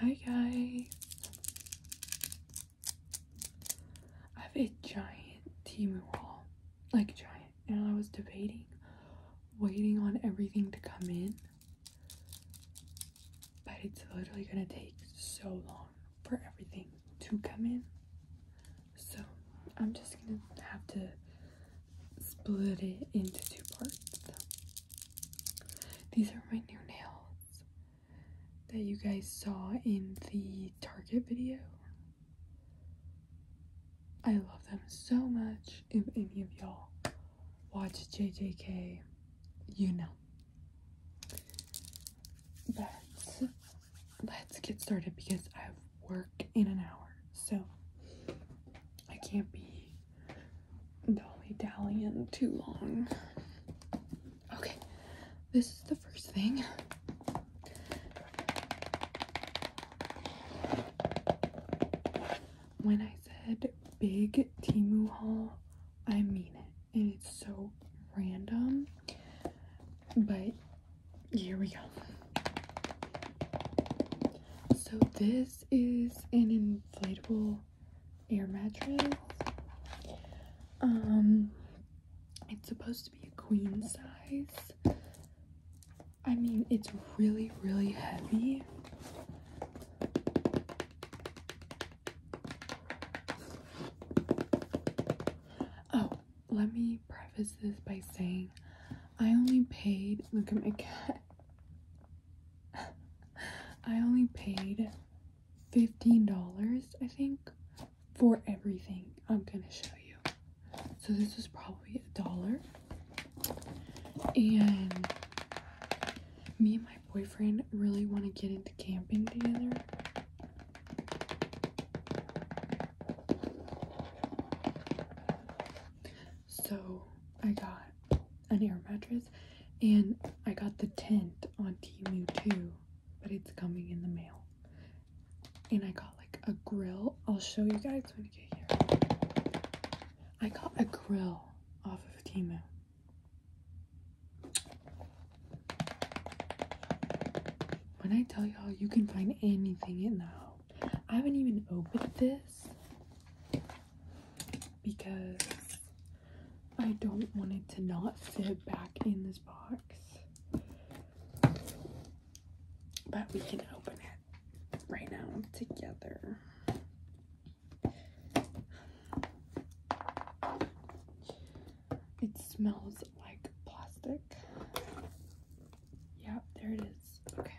Hi guys! I have a giant Timu wall, like giant, and I was debating, waiting on everything to come in, but it's literally gonna take so long for everything to come in, so I'm just gonna have to split it into two parts. These are my new nails that you guys saw in the Target video. I love them so much. If any of y'all watch JJK, you know. But let's get started because I have work in an hour. So I can't be dolly dallying too long. Okay, this is the first thing. When I said big Timu I mean it. And it's so random. But here we go. So this is an inflatable air mattress. Um, it's supposed to be a queen size. I mean, it's really, really heavy. Oh, let me preface this by saying I only paid, look at my cat. I only paid $15, I think, for everything. I'm gonna show you. So this was probably a dollar. And me and my boyfriend really want to get into camping together. So I got an air mattress and I got the tent on Timu too, but it's coming in the mail. And I got like a grill. I'll show you guys when I get here. I got a grill off of Timu. When I tell y'all, you can find anything in the home. I haven't even opened this because I don't want it to not fit back in this box. But we can open it right now together. It smells like plastic. Yep, there it is. Okay.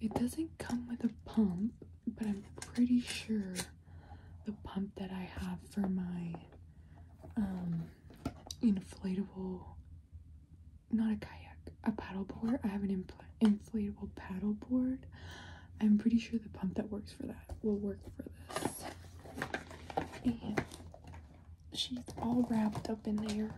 It doesn't come with a pump, but I'm pretty sure the pump that I have for my um, inflatable, not a kayak, a paddleboard. I have an inflatable paddleboard. I'm pretty sure the pump that works for that will work for this. And she's all wrapped up in there.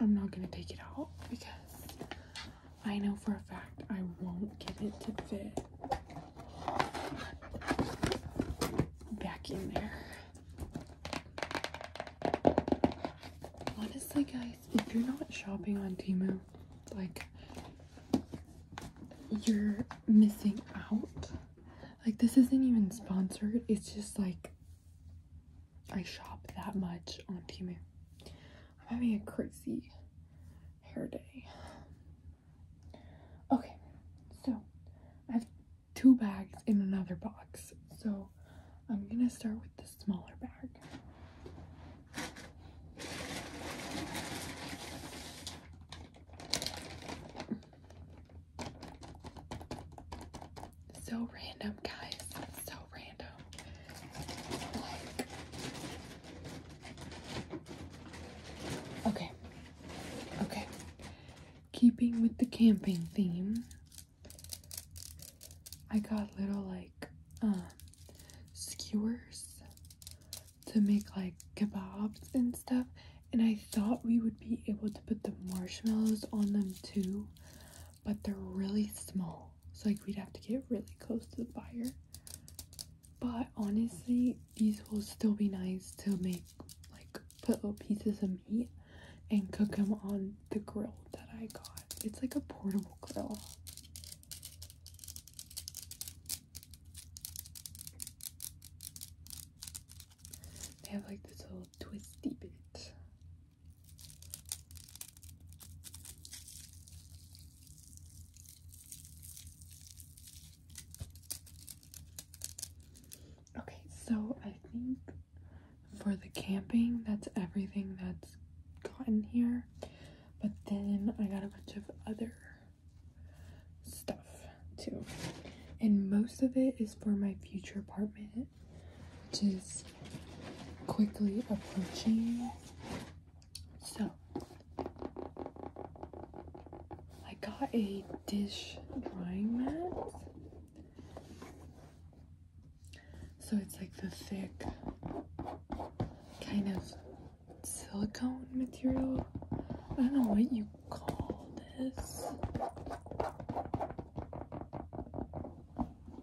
I'm not going to take it out because I know for a fact I won't get it to fit back in there. Honestly guys, if you're not shopping on Timu, like you're missing out. Like, this isn't even sponsored, it's just like I shop that much on Timu. I'm having a crazy hair day. Okay, so I have two bags in another box, so I'm gonna start with the smaller bag. So random, guys. So random. okay. Okay. Keeping with the camping theme, I got little like um skewers to make like kebabs and stuff and I thought we would be able to put the marshmallows on them too but they're really small so like we'd have to get really close to the fire but honestly these will still be nice to make like put little pieces of meat and cook them on the grill that I got it's like a portable grill they have like this little twisty bit. Okay, so I think for the camping, that's everything that's gotten here. But then I got a bunch of other stuff too. And most of it is for my future apartment, which is quickly approaching. So, I got a dish drying mat. So it's like the thick kind of silicone material. I don't know what you call this.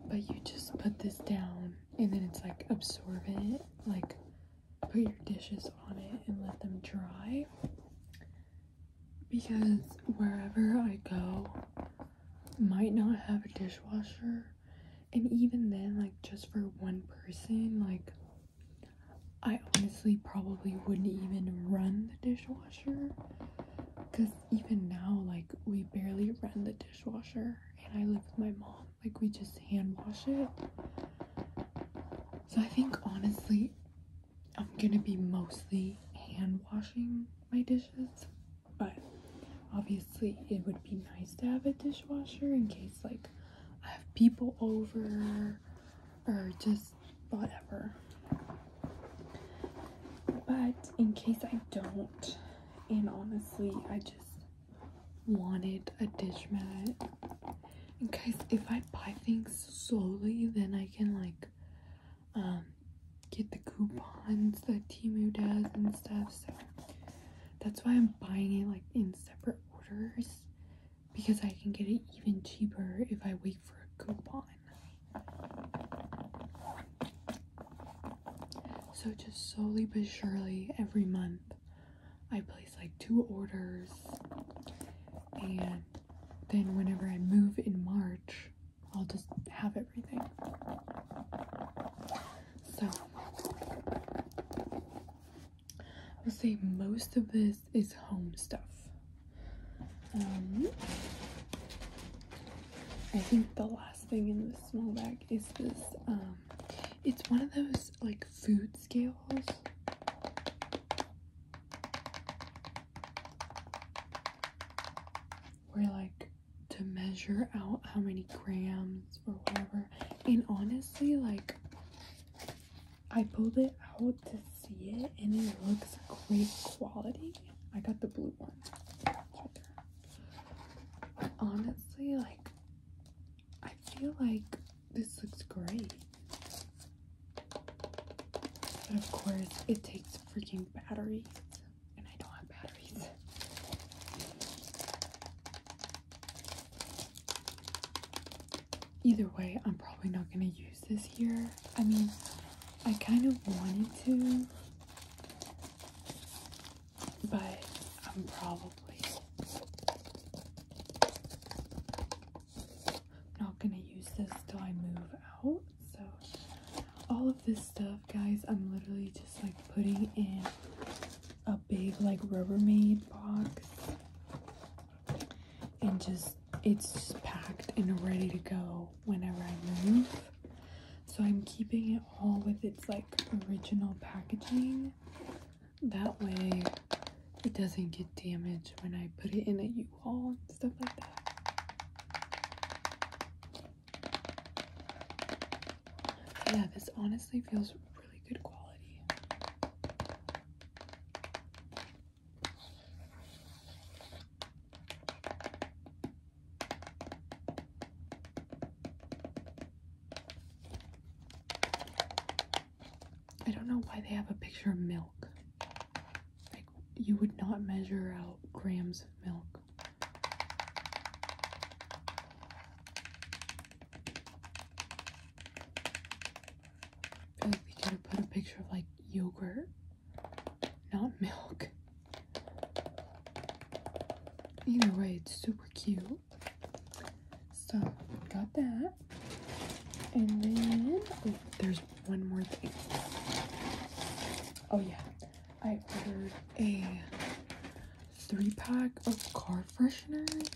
But you just put this down and then it's like absorbent. Like put your dishes on it and let them dry. Because wherever I go, might not have a dishwasher. And even then, like just for one person, like I honestly probably wouldn't even run the dishwasher because even now, like, we barely run the dishwasher, and I live with my mom, like, we just hand wash it. So, I think honestly, I'm gonna be mostly hand washing my dishes, but obviously, it would be nice to have a dishwasher in case, like, I have people over or just whatever. But in case I don't, and honestly, I just wanted a dish mat. And guys, if I buy things slowly, then I can like um, get the coupons that Timu does and stuff. So that's why I'm buying it like in separate orders because I can get it even cheaper if I wait for a coupon. So just slowly but surely every month I place like two orders and then whenever I move in March I'll just have everything. So I would say most of this is home stuff. Um, I think the last thing in this small bag is this. Um, it's one of those like food scales. Where like to measure out how many grams or whatever and honestly like I pulled it out to see it and it looks great quality. I got the blue one. But honestly like I feel like this looks great. But of course it takes freaking batteries and I don't have batteries. Either way, I'm probably not going to use this here. I mean, I kind of wanted to, but I'm probably not going to use this till I move out. So, all of this stuff, guys, I'm literally just like putting in a big like Rubbermaid box and just it's just packed and ready to go whenever I move. So I'm keeping it all with its like original packaging. That way it doesn't get damaged when I put it in a U-Haul and stuff like that. Yeah, this honestly feels really good quality. I don't know why they have a picture of milk. Like, you would not measure out grams of milk. I feel like they could have put a picture of like yogurt, not milk. Either way, it's super cute. So, got that. And then, oh, there's one more thing. Oh yeah, I ordered a three pack of car fresheners,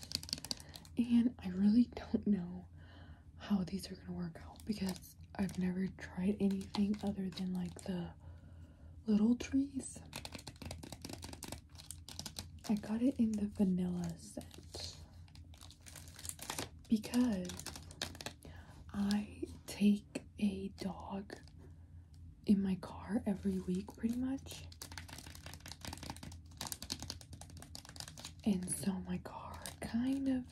and I really don't know how these are gonna work out because I've never tried anything other than like the little trees. I got it in the vanilla scent because I take a dog in my car every week pretty much. And so my car kind of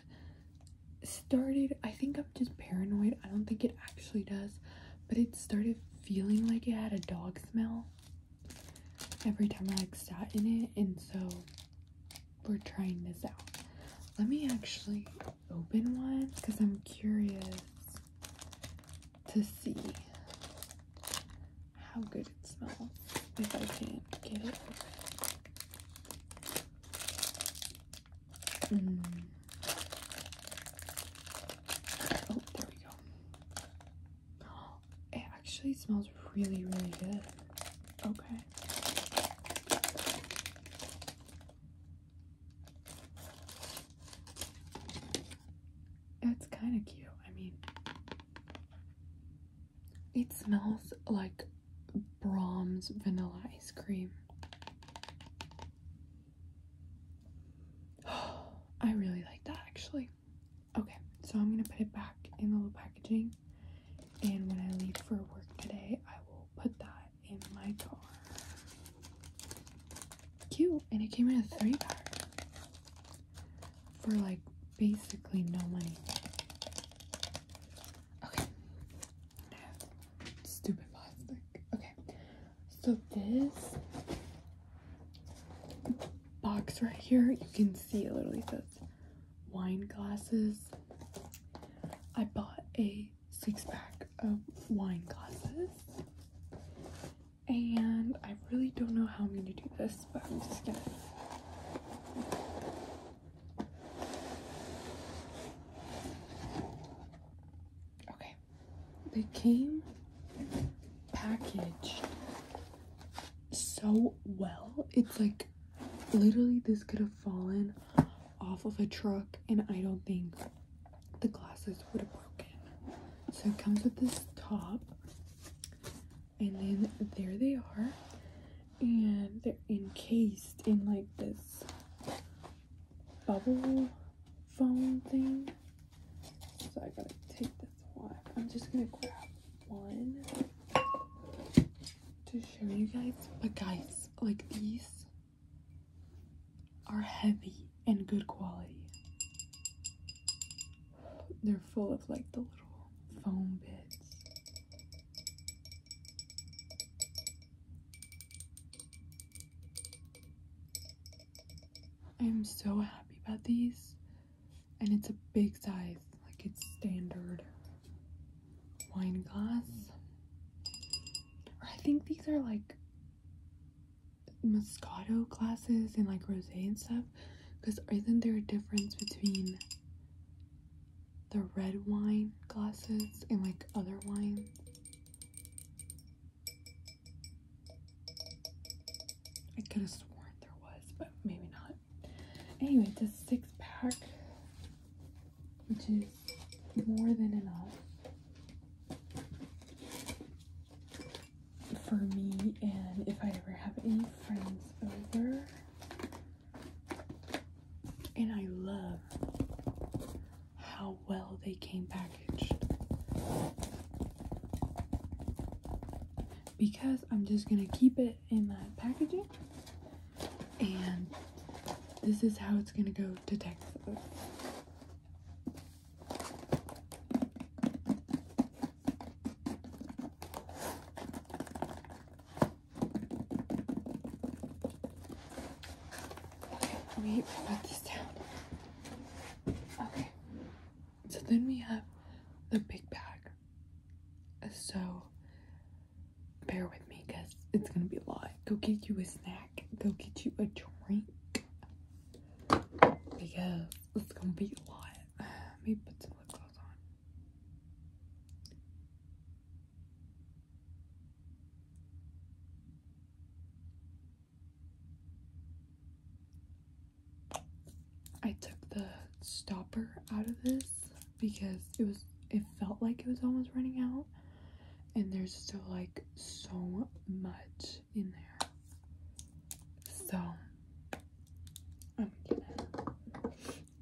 started, I think I'm just paranoid. I don't think it actually does, but it started feeling like it had a dog smell every time I like sat in it. And so we're trying this out. Let me actually open one because I'm curious to see how good it smells if I can get it mm. Oh, there we go. It actually smells really, really good. Okay. That's kind of cute. I mean, it smells like Brahms vanilla ice cream. I really like that actually. Okay, so I'm gonna put it back in the little packaging and when I leave for work today, I will put that in my car. Cute. And it came in a three pack for like basically no money. Okay. Stupid plastic. Okay. So this box right here, you can see it literally says wine glasses. I bought a six pack of wine glasses and I really don't know how I'm going to do this, but I'm just going to Okay. They came packaged so well. It's like literally this could have fallen off of a truck and I don't think the glasses would have broken. So it comes with this top, and then there they are, and they're encased in like this bubble foam thing. So I gotta take this off. I'm just gonna grab one to show you guys. But guys, like these are heavy and good quality. They're full of like the little foam bits. I'm so happy about these. And it's a big size, like it's standard wine glass. Or I think these are like Moscato glasses and like rosé and stuff because isn't there a difference between the red wine glasses and like other wines? I could have sworn there was, but maybe not. Anyway, it's a six pack, which is more than enough for me and if I ever have any friends over. And I love how well they came packaged. Because I'm just gonna keep it in that packaging and this is how it's gonna go to Texas. We put these down. Okay. So then we have the big bag. So bear with me because it's gonna be a lot. Go get you a snack. Go get you a drink because it's gonna be a lot. Let me put some lip gloss on. I took the stopper out of this because it was it felt like it was almost running out and there's still like so much in there. So I'm gonna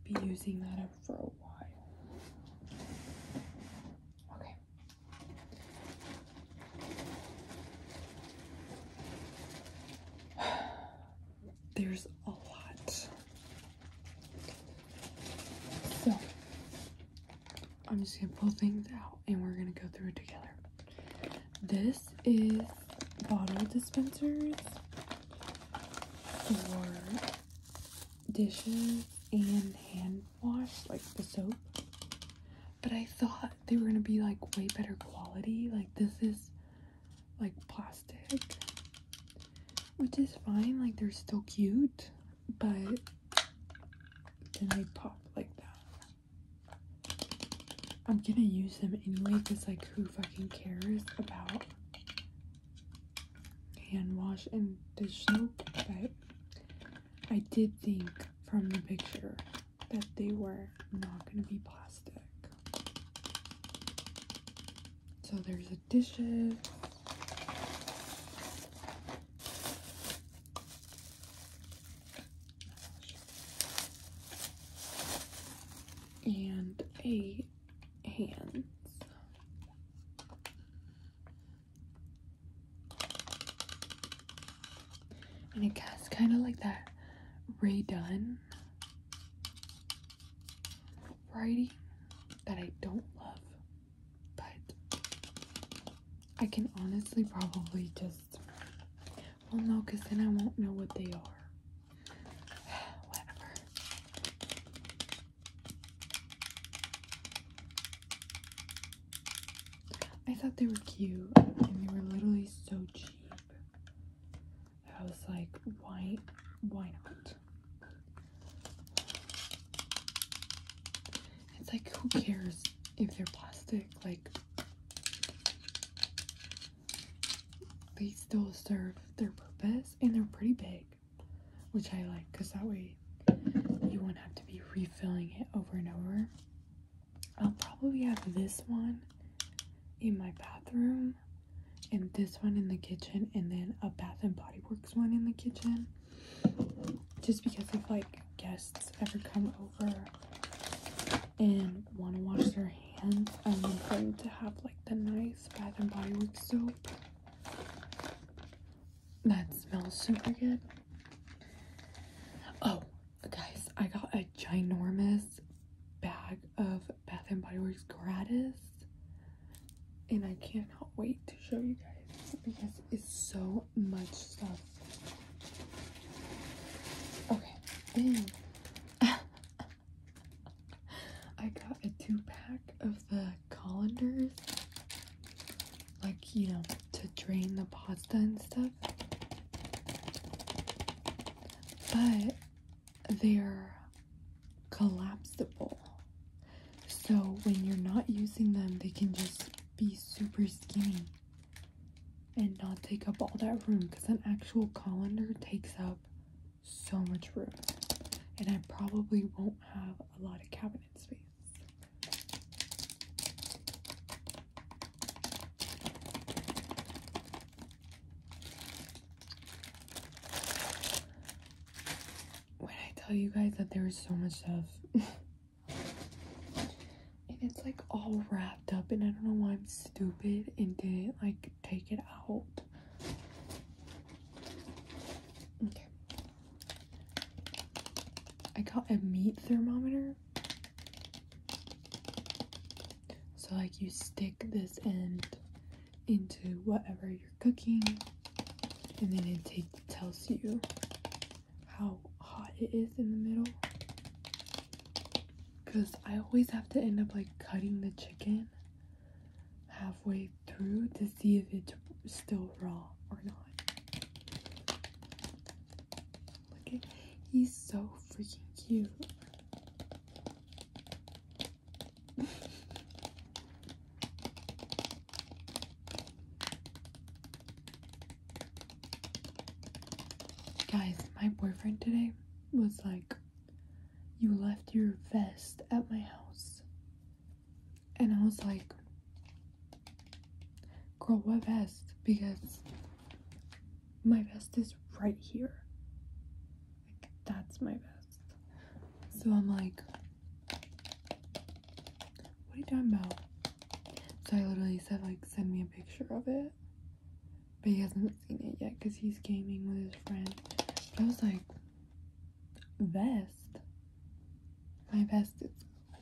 be using that up for a while. Okay. There's a lot. So I'm just gonna pull things out and we're gonna go through it together. This is bottle dispensers for dishes and hand wash, like the soap. But I thought they were gonna be like way better quality. Like this is like plastic, which is fine. Like they're still cute, but then they pop like that. I'm gonna use them anyway because, like, who fucking cares about hand wash and dish soap? But I did think from the picture that they were not gonna be plastic. So there's a dishes and a hands. And it guess kind of like that redone variety that I don't love. But I can honestly probably just, well, no, because then I won't know what they are. Whatever. I thought they were cute and they were literally so cheap. I was like, why, why not? It's like, who cares if they're plastic? Like, they still serve their purpose and they're pretty big, which I like because that way you won't have to be refilling it over and over. I'll probably have this one in my bathroom and this one in the kitchen and then a Bath and Body Works one in the kitchen just because if like guests ever come over and want to wash their hands, I am going to have like the nice Bath and Body Works soap that smells super good. Oh, guys, I got a ginormous bag of Bath and Body Works gratis, and I cannot wait to show you guys because it's so much stuff. Okay, then I got a two pack of the colanders, like you know, to drain the pasta and stuff. But they're collapsible, so when you're not using them, they can just be super skinny and not take up all that room because an actual colander takes up so much room and I probably won't have a lot of cabinet space. When I tell you guys that there is so much stuff and it's like all wrapped up and I don't know why I'm stupid and didn't like take it out. Okay. I got a meat thermometer. So like you stick this end into whatever you're cooking and then it tells you how hot it is in the middle because I always have to end up like cutting the chicken halfway through to see if it's still raw or not. Look at he's so freaking cute. Guys, my boyfriend today was like, You left your vest at my house. And I was like, Girl, what vest? Because my vest is right here. Like, that's my vest. So I'm like, what are you talking about? So I literally said, like, send me a picture of it. But he hasn't seen it yet because he's gaming with his friend. But I was like, vest? My vest is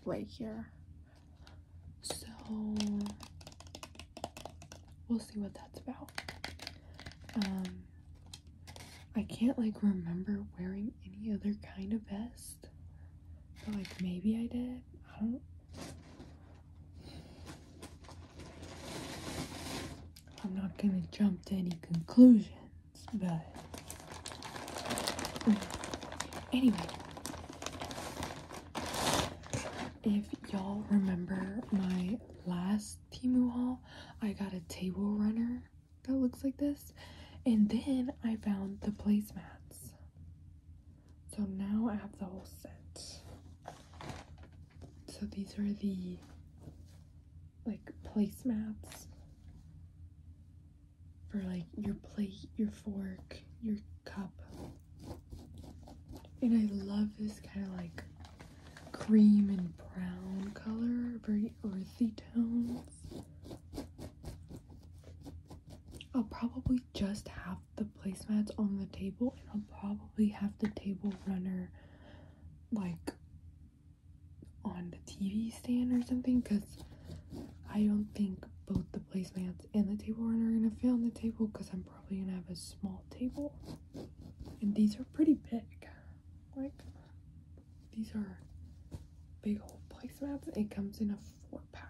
right here. So, we'll see what that's about. Um, I can't, like, remember wearing any other kind of vest. But like maybe I did. I don't I'm not gonna jump to any conclusions, but anyway. If y'all remember my last Timu haul, I got a table runner that looks like this. And then I found the placemats. So now I have the whole set. So these are the like placemats for like your plate, your fork, your cup. And I love this kind of like cream and brown color, very earthy tones. I'll probably just have the placemats on the table and I'll probably have the table runner like on the TV stand or something because I don't think both the placemats and the table runner are going to fit on the table because I'm probably going to have a small table. And these are pretty big. Like, these are big old place placemats. It comes in a four pack.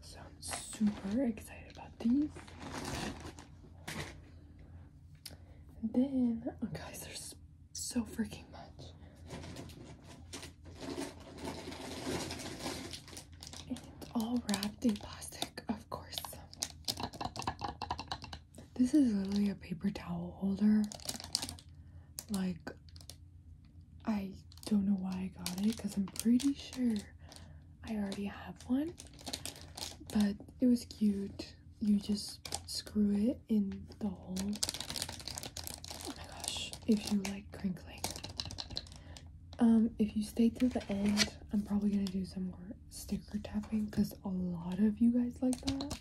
So I'm super excited about these. And then, oh guys, there's so freaking much. And it's all wrapped in plastic of course. This is literally a paper towel holder. Like, I don't know why I got it because I'm pretty sure I already have one. But it was cute. You just screw it in the hole. Oh my gosh, if you like crinkling. Um, if you stay to the end, I'm probably gonna do some more sticker tapping because a lot of you guys like that.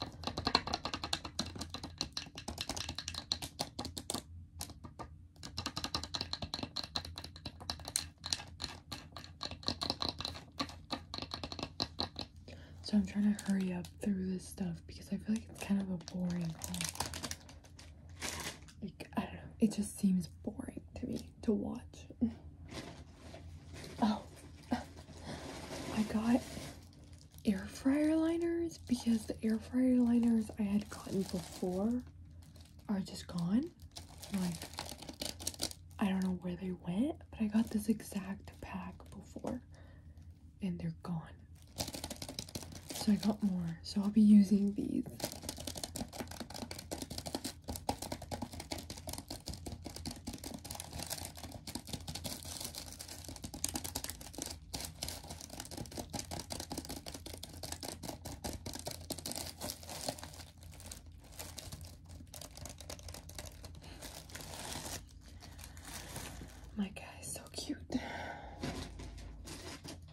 So I'm trying to hurry up through this stuff because I feel like it's kind of a boring call like I don't know, it just seems boring to me to watch. Oh, I got air fryer liners because the air fryer liners I had gotten before are just gone. Like, I don't know where they went, but I got this exact pack before and they're gone. So I got more so I'll be using these. My guy so cute.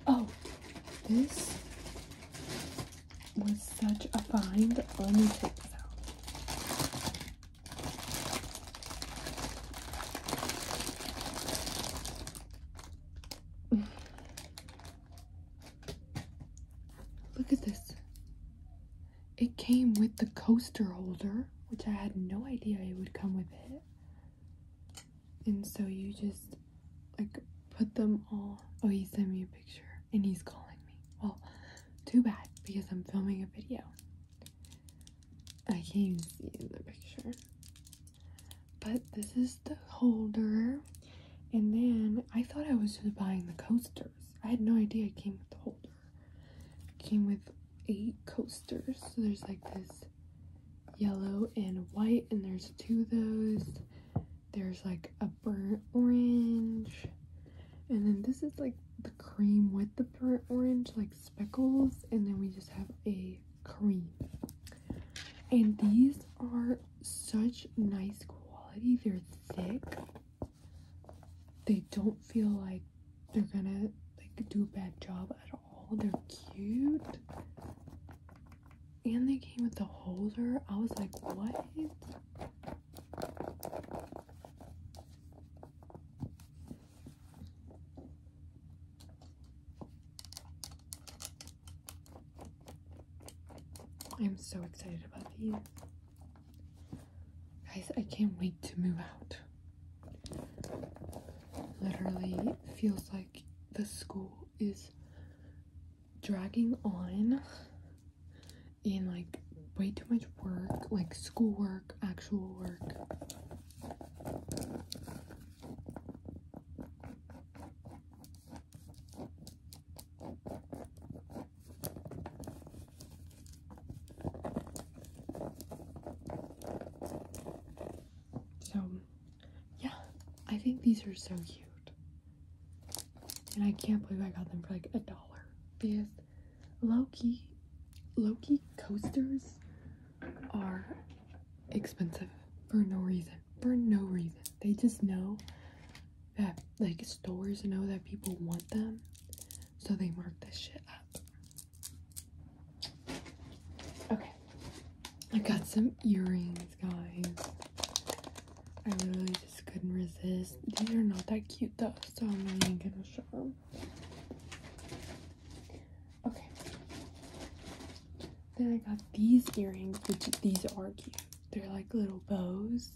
Oh, this was such a find. Let me take this out. Look at this. It came with the coaster holder, which I had no idea it would come with it and so you just like put them all oh he sent me a picture and he's calling me well too bad because i'm filming a video i can't even see the picture but this is the holder and then i thought i was just buying the coasters i had no idea it came with the holder came with eight coasters so there's like this yellow and white and there's two of those there's like a burnt orange. And then this is like the cream with the burnt orange, like speckles. And then we just have a cream. And these are such nice quality. They're thick. They don't feel like they're gonna like do a bad job at all. They're cute and they came with the holder. I was like, what? I'm so excited about these. Guys, I can't wait to move out. Literally feels like the school is dragging on in like way too much work, like schoolwork, actual work. So, yeah, I think these are so cute. And I can't believe I got them for like a dollar. Because Loki, Loki coasters are expensive for no reason. For no reason. They just know that like stores know that people want them. So they mark this shit up. Okay. I got some earrings, guys. I literally just couldn't resist. These are not that cute though, so I'm not even gonna show them. Okay. Then I got these earrings, which these are cute. They're like little bows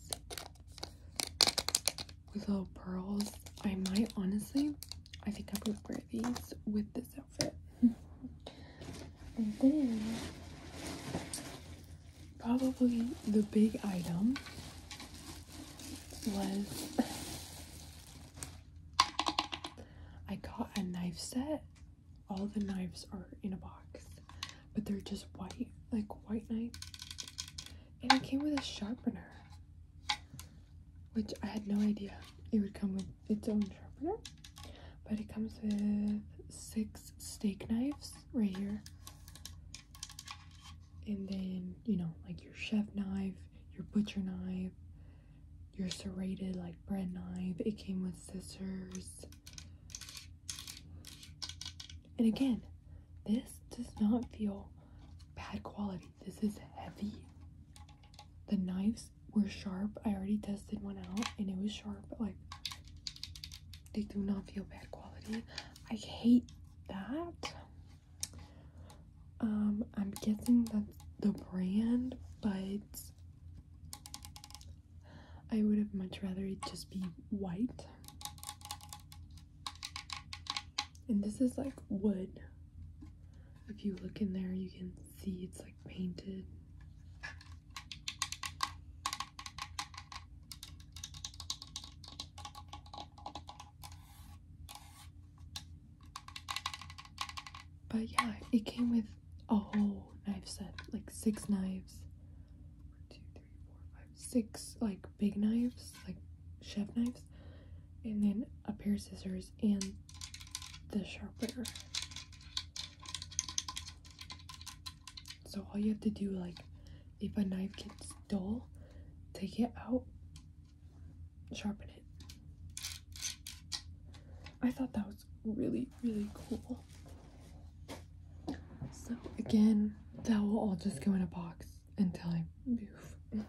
with little pearls. I might honestly, I think I'm gonna wear these with this and then, probably the big item was I got a knife set. All the knives are in a box, but they're just white, like white knife. And it came with a sharpener, which I had no idea it would come with its own sharpener, but it comes with six steak knives right here. And then, you know, like your chef knife, your butcher knife, your serrated like bread knife. It came with scissors. And again, this does not feel bad quality. This is heavy. The knives were sharp. I already tested one out and it was sharp, but like they do not feel bad quality. I hate that. Um, I'm guessing that's the brand, but I would have much rather it just be white. And this is like wood. If you look in there, you can see it's like painted. But yeah, it came with a whole knife set, like six knives. six like big knives, like chef knives, and then a pair of scissors and the sharpener. So all you have to do like if a knife gets dull, take it out, sharpen it. I thought that was really, really cool. So again, that will all just go in a box until I move.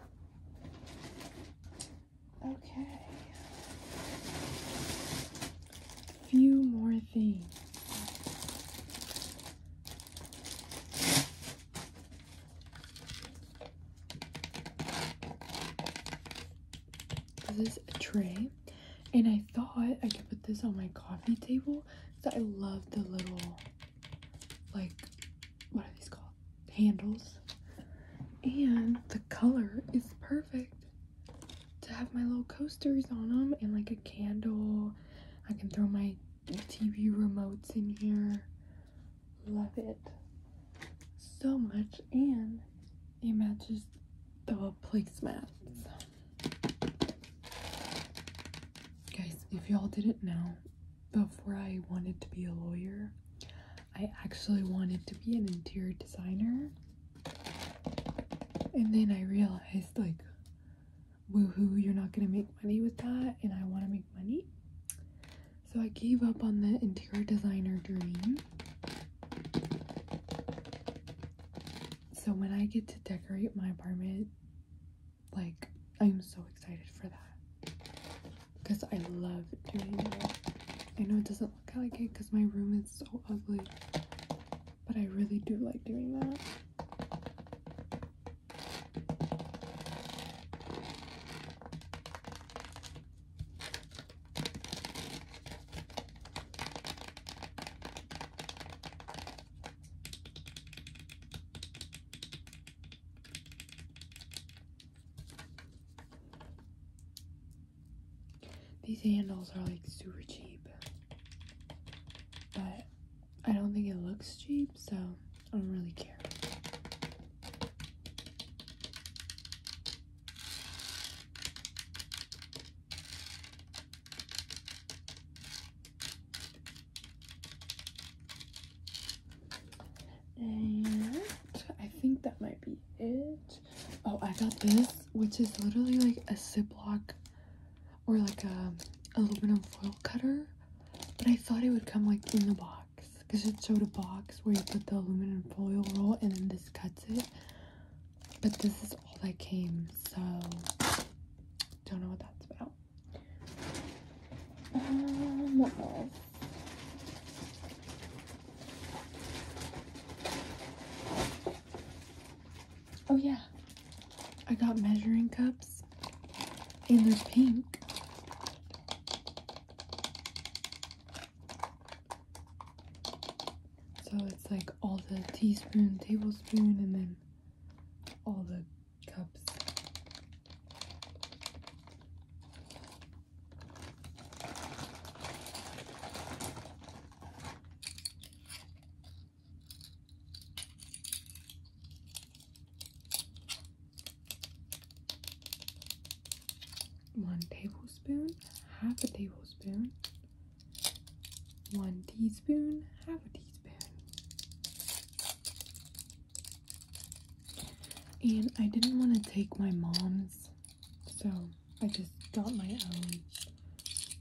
Okay. Few more things. This is a tray, and I thought I could put this on my coffee table because I love the little, like, what are these called? Handles. And the color is perfect to have my little coasters on them and like a candle. I can throw my TV remotes in here. Love it so much. And it matches the placemat. Guys, if y'all didn't know, before I wanted to be a lawyer, I actually wanted to be an interior designer. And then I realized, like, woohoo, you're not gonna make money with that, and I wanna make money. So I gave up on the interior designer dream. So when I get to decorate my apartment, like, I'm so excited for that. Because I love doing it. I know it doesn't doesn't look like it because my room is so ugly. But I really do like doing that. These handles are like super cheap, but I don't think it looks cheap, so I don't really care. And I think that might be it. Oh, I got this, which is literally like a Ziploc or like a aluminum foil cutter. But I thought it would come like in the box because it showed a box where you put the aluminum foil roll and then this cuts it. But this is all that came, so don't know what that's about. Um, what else? Oh yeah, I got measuring cups and they're pink. So it's like all the teaspoon, tablespoon, and then all the cups. One tablespoon, half a tablespoon, one teaspoon, half a teaspoon. And I didn't want to take my mom's, so I just got my own.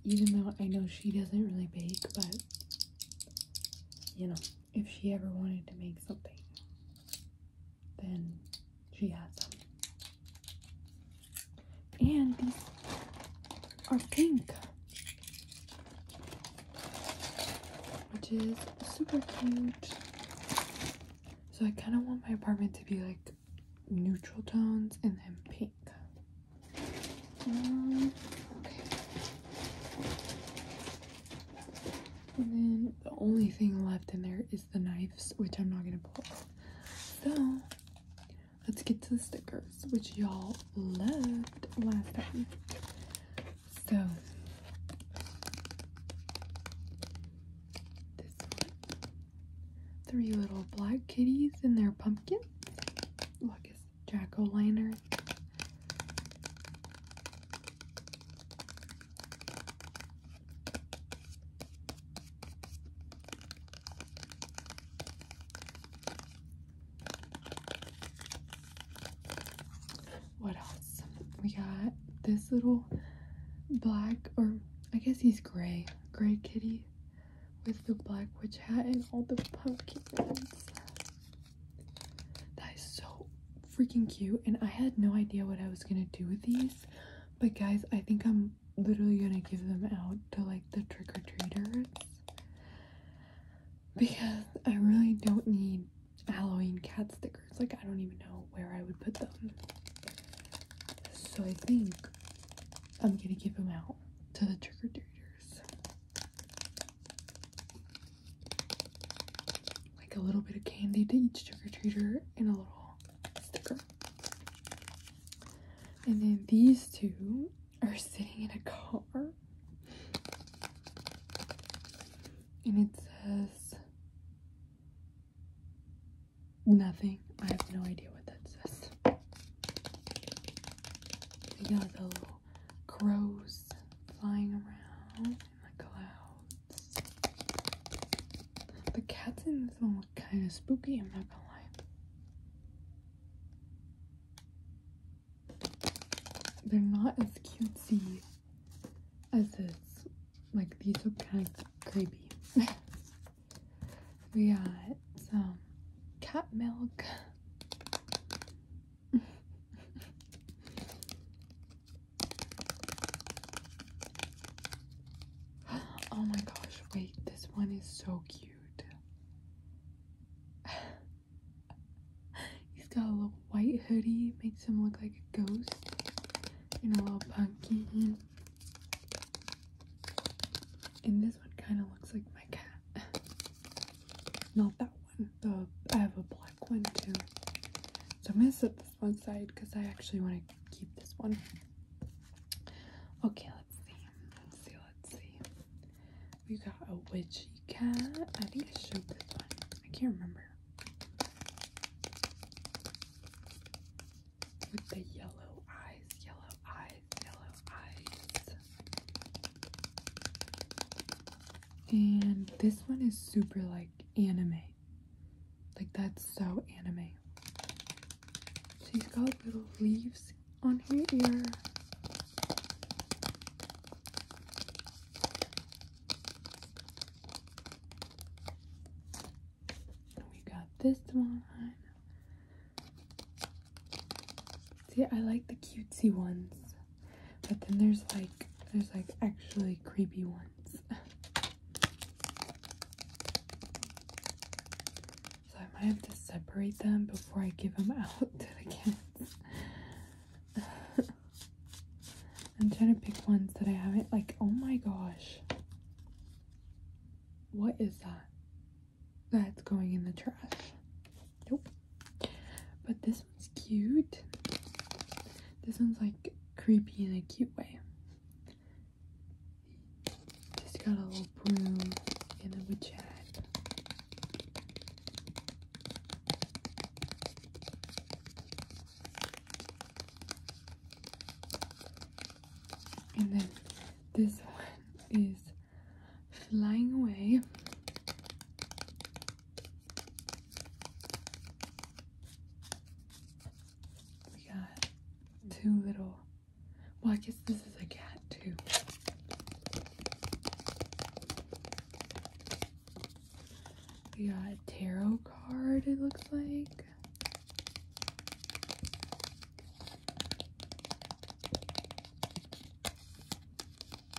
Even though I know she doesn't really bake, but you know, if she ever wanted to make something, then she has them. And these are pink, which is super cute. So I kind of want my apartment to be like neutral tones and then pink. Um, and then the only thing left in there is the knives, which I'm not gonna pull So let's get to the stickers, which y'all loved last time. So Three little black kitties in their pumpkin. Look, it's jack o' lantern. What else? We got this little black, or I guess he's gray, gray kitty with the black witch hat and all the pumpkin heads. That is so freaking cute. And I had no idea what I was gonna do with these. But guys, I think I'm literally gonna give them out to like the trick-or-treaters. Because I really don't need Halloween cat stickers. It's Like, I don't even know where I would put them. So I think I'm gonna give them out to the trick or treaters. Like a little bit of candy to each trick or treater and a little sticker. And then these two are sitting in a car. And it says Nothing. I have no idea what that says. We got like the little crows flying around in the clouds. The cats in this one look kind of spooky, I'm not gonna lie. They're not as cutesy as this like these look kind of creepy. we got some cat milk. oh my gosh, wait, this one is so cute. He's got a little white hoodie, makes him look like a ghost and a little pumpkin. And this one kind of looks like my cat. Not that one. The I have a black one too. So I'm gonna set this one side because I actually want to keep this one. Okay, let's see. Let's see. Let's see. We got a witchy cat. I think I showed this one. I can't remember with the yellow eyes, yellow eyes, yellow eyes. And this one is super like anime. Like that's so anime. She's got little leaves on her ear. We got this one. See, I like the cutesy ones, but then there's like there's like actually creepy ones. so I might have to separate them before I give them out to the kids. I'm trying to pick ones that I haven't, like, oh my gosh. What is that? That's going in the trash. Nope. But this one's cute. This one's like creepy in a cute way. Just got a little broom and a witch hat. And then this one is flying away. We got two little, well I guess this is a cat too. We got a tarot card, it looks like.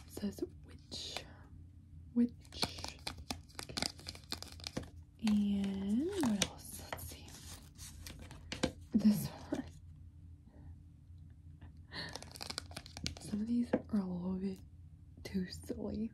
It says witch. Witch. And what else? Let's see. This one. Some of these are a little bit too silly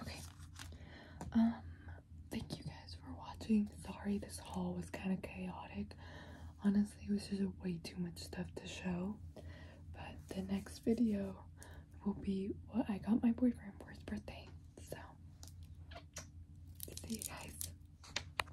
Okay. Um, thank you guys for watching. Sorry this haul was kind of chaotic. Honestly, it was just way too much stuff to show. But the next video will be what I got my boyfriend for his birthday. So, see you guys.